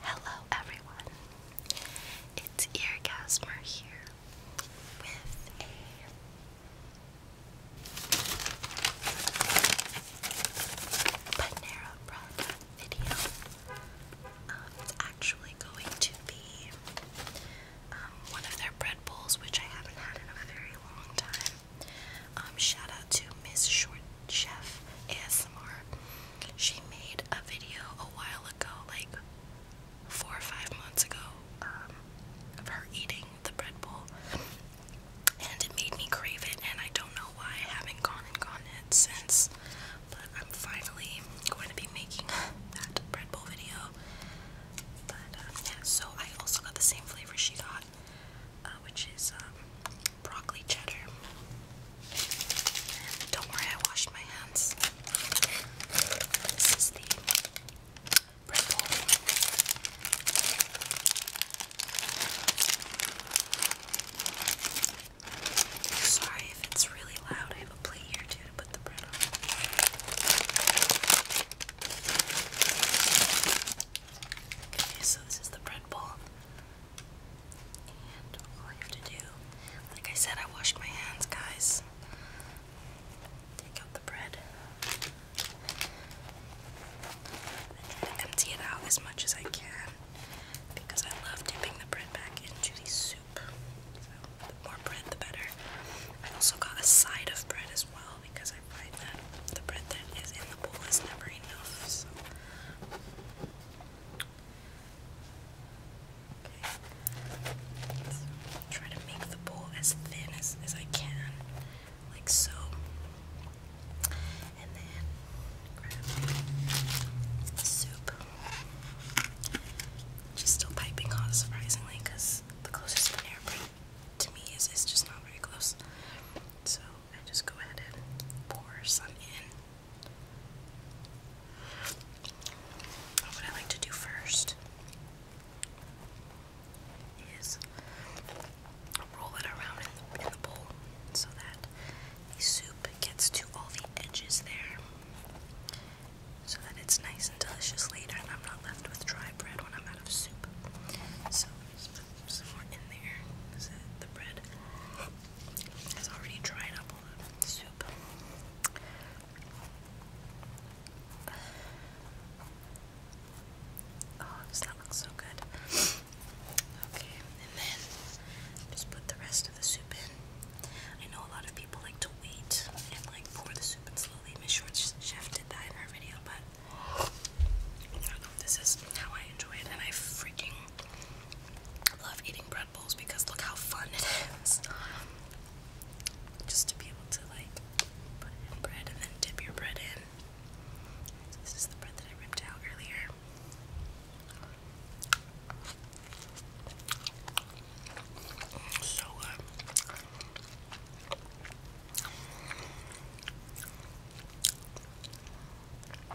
Hello, everyone. It's Eargasmer here with a Panera Bread video. Um, it's actually going to be um, one of their bread bowls, which I haven't had in a very long time. Um, shout out to Miss Short Chef ASMR. She made a video a while ago, like four or five months ago, um, of her eating the bread bowl, and it made me crave it, and I don't know why I haven't gone and gone it since, but I'm finally going to be making that bread bowl video, but um, yeah, so I also got the same flavor she got, uh, which is um, broccoli cheddar. Don't worry, I washed my hands. This is the ripple. Sorry if it's really loud. I have a plate here too to put the bread on. Okay, so this is the bread bowl. And all you have to do, like I said, I washed my hands, guys. Take out the bread. empty it out as much as I can because I love dipping the bread back into the soup. So the more bread, the better. I also got a side of bread as well because I find that the bread that is in the bowl is never enough try to make the bowl as thin as, as I can, like so. And then soup. She's still piping hot, surprisingly, the closest Panera Bread to me is just not very close. So I just go ahead and pour some in. What I like to do first is roll it around in the, bowl so that the soup gets to all the edges there so that it's nice and delicious later and I'm not left with dry bread when I'm out of soup. So, just put some more in there the bread has already dried up Oh, does that look so good? Okay, and then just put the rest of the soup in. I know a lot of people like to wait and like pour the soup in slowly. Miss Shorts Chef did that in her video, but I don't know if this is how I enjoy it, and I freaking I love eating bread bowls because look how fun it is. Um, just to be able to like put in bread and then dip your bread in. This is the bread that I ripped out earlier. So good. Uh,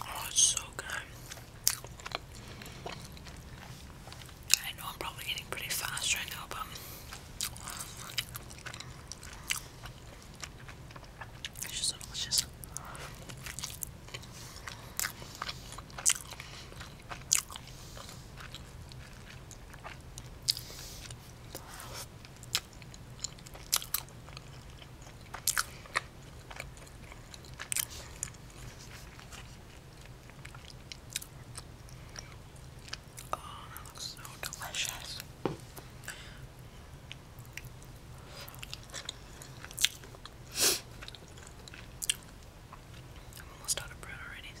Oh, it's so good. I know I'm probably eating pretty fast right now, but it's just delicious. Oh, that looks so delicious. I'm almost out of bread already, see?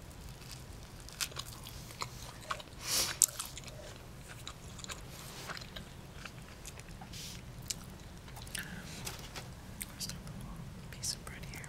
There's a little piece of bread here.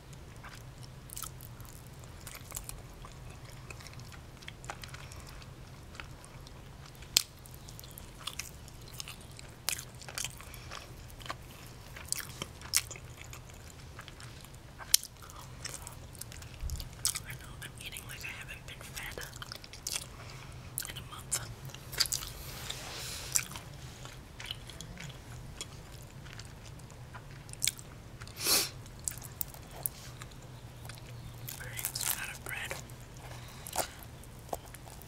I know I'm eating like I haven't been fed in a month. Great, out of bread.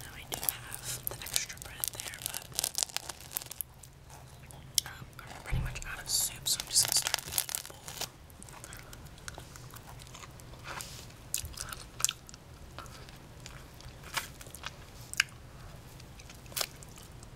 Now we do have the extra bread there, but I'm pretty much out of soup, so I'm just gonna start making a um, bowl.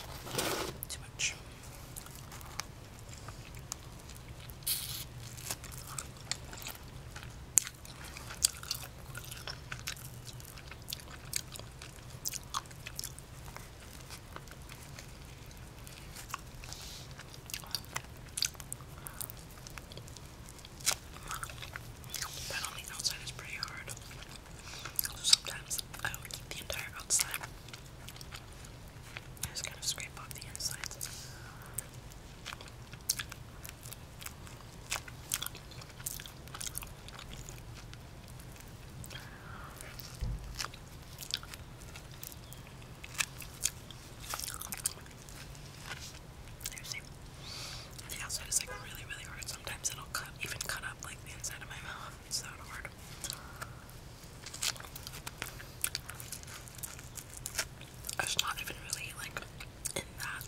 Oh my gosh. Too much. But on the outside is pretty hard. So sometimes I eat the entire outside just kind of scrape off the insides. You see, the outside is like really, really hard. Sometimes it'll cut, even cut up like the inside of my mouth. It's that hard. It's not even really like in that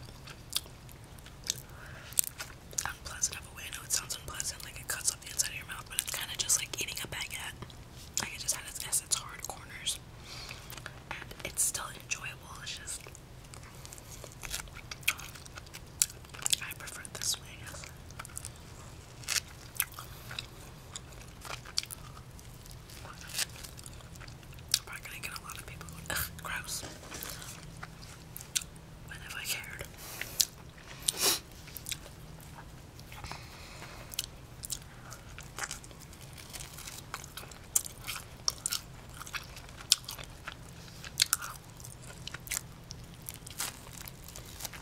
unpleasant of a way. I know it sounds unpleasant, like it cuts up the inside of your mouth, but it's kind of just like eating a baguette. Like it just had its essence hard corners. And it's still enjoyable. It's just I prefer this way, Probably gonna get a lot of people gross. When have I cared?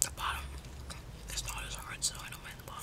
The bottom is not as hard, so I don't mind the bottom.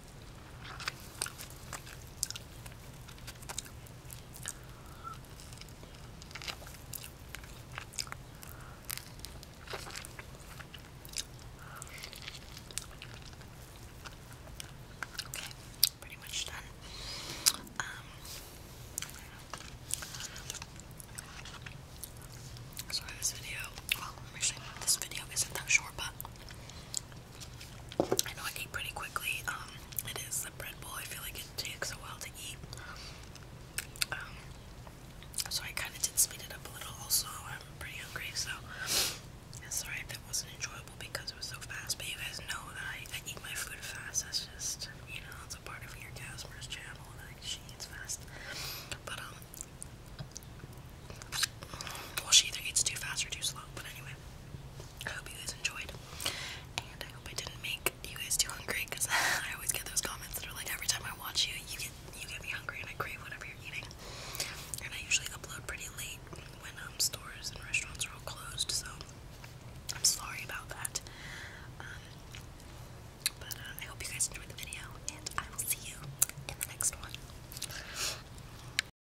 Okay, pretty much done. Um, sorry, this video. Well, actually, this video isn't that short, but I know I eat pretty quickly. Um, it is the bread bowl. I feel like it takes a while to eat. Um, so I kind of did speed it up a little. Also, I'm pretty hungry, so I'm sorry if that wasn't enjoyable because it was so fast. But you guys know that I, eat my food fast. That's just you know, it's a part of your Casper's channel that she eats fast. But um, Well, she either eats too fast or too slow, but anyway. I hope you guys enjoyed, and I hope I didn't make you guys too hungry because I always get those comments that are like, every time I watch you, you get you get me hungry and I crave whatever you're eating. And I usually upload pretty late when um, stores and restaurants are all closed, so I'm sorry about that. Um, but uh, I hope you guys enjoyed the video, and I will see you in the next one.